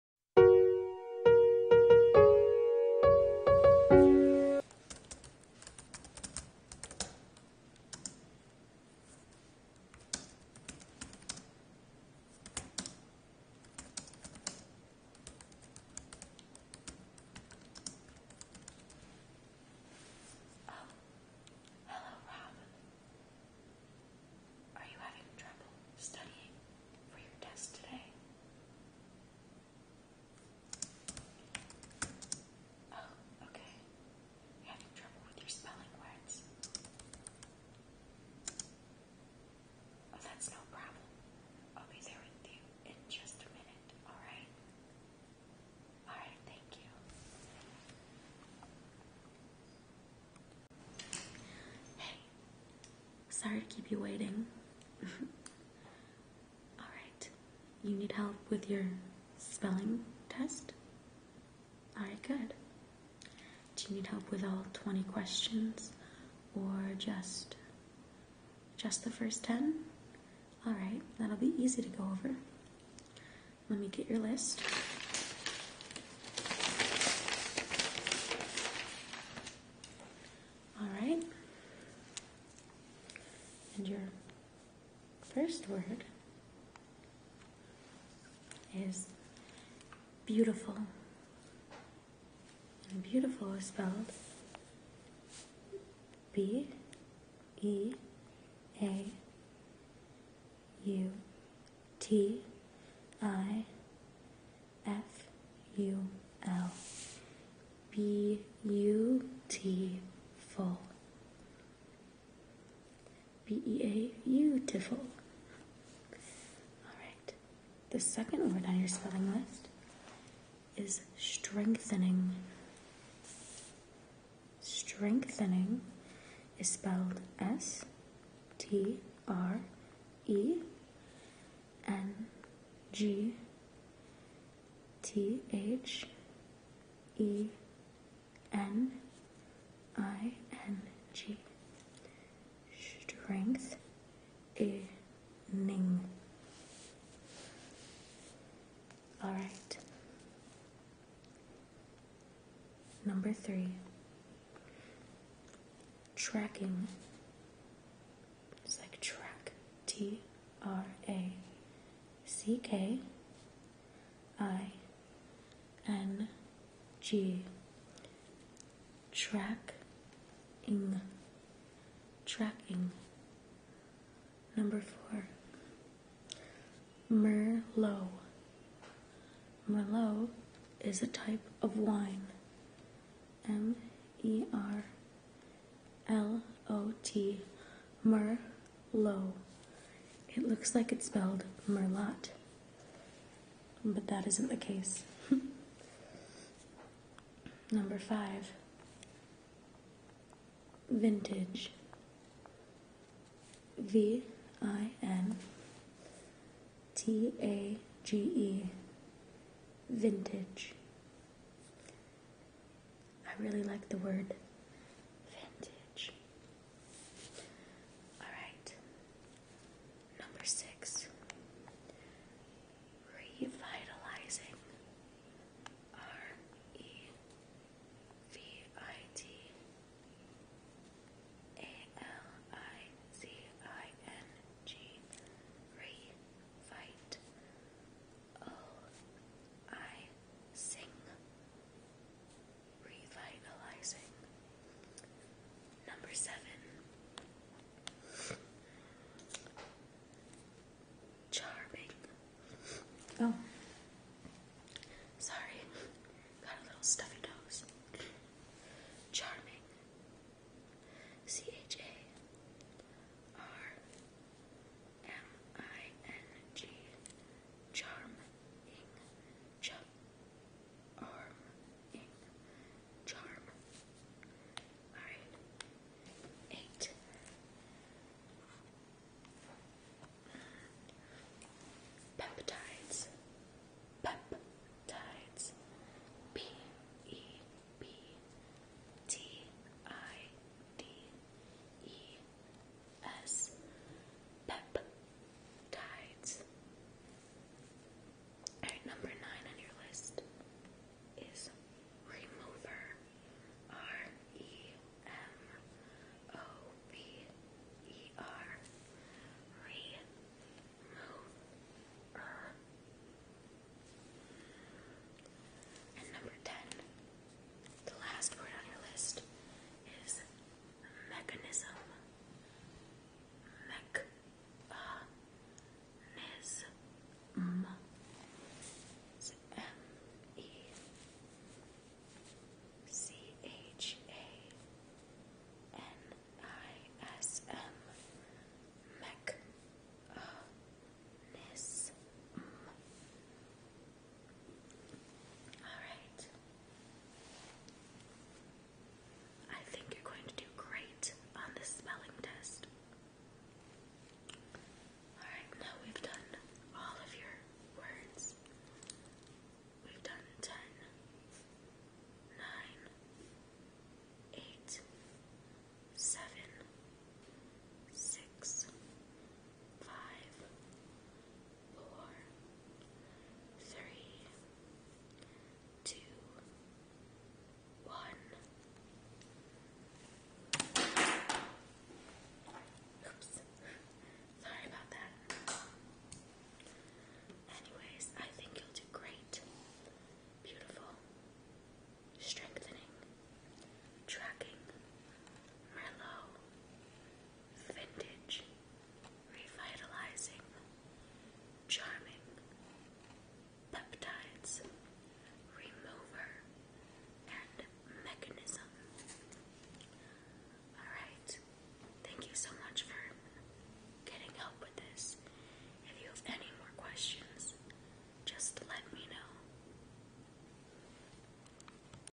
Oh. Hello, Rob. Are you having trouble studying for your test today? Oh, okay. having trouble with your spelling words. Oh, that's no problem. I'll be there with you in just a minute, alright? Alright, thank you. Hey, sorry to keep you waiting. Alright, you need help with your spelling test? Alright, good. Do you need help with all 20 questions or just just the first 10? Alright, that'll be easy to go over. Let me get your list. All right. And your first word is beautiful. beautiful is spelled B E A U T I F U L B U T full B E A beautiful. Alright. The second word on your spelling list is strengthening. Strengthening is spelled S T R E N G T H E N I N G. Strength ening. All right. Number three, tracking. It's like track. T R A C K I N G. Tracking. Track. Tracking. Number four, Merlot. Merlot is a type of wine. M E R L O T. Merlot. It looks like it's spelled Merlot, but that isn't the case. Number five, vintage V I N T A G E vintage. I really like the word vintage. All right. Number 6 revitalizing. R E V I T A L I Z I N G Revitalizing Number seven Charming. Oh. Sorry. Got a little stuffy nose. Charming. C H A R M I N G. Charming. Charming. Charm nine, eight. Peptides. Peptides. P E P T I D E S. Peptides number nine on your list is Remover. R E M O V E R. Remover. And number ten, the last word on your list is mechanism. Mechanism mesma. It's M E C H A N I S M Mech a -nism. All right. I think you're going to do great on this spelling test. Alright, now we've done all of your words. We've done 10, four, three, two, one. Oops. Sorry about that. Anyways, I think you'll do great. Beautiful. Strengthening. Tracking. Merlot vintage, revitalizing, charming, peptides, remover, and mechanism. Alright, thank you so much for getting help with this. If you have any more questions, just let me know.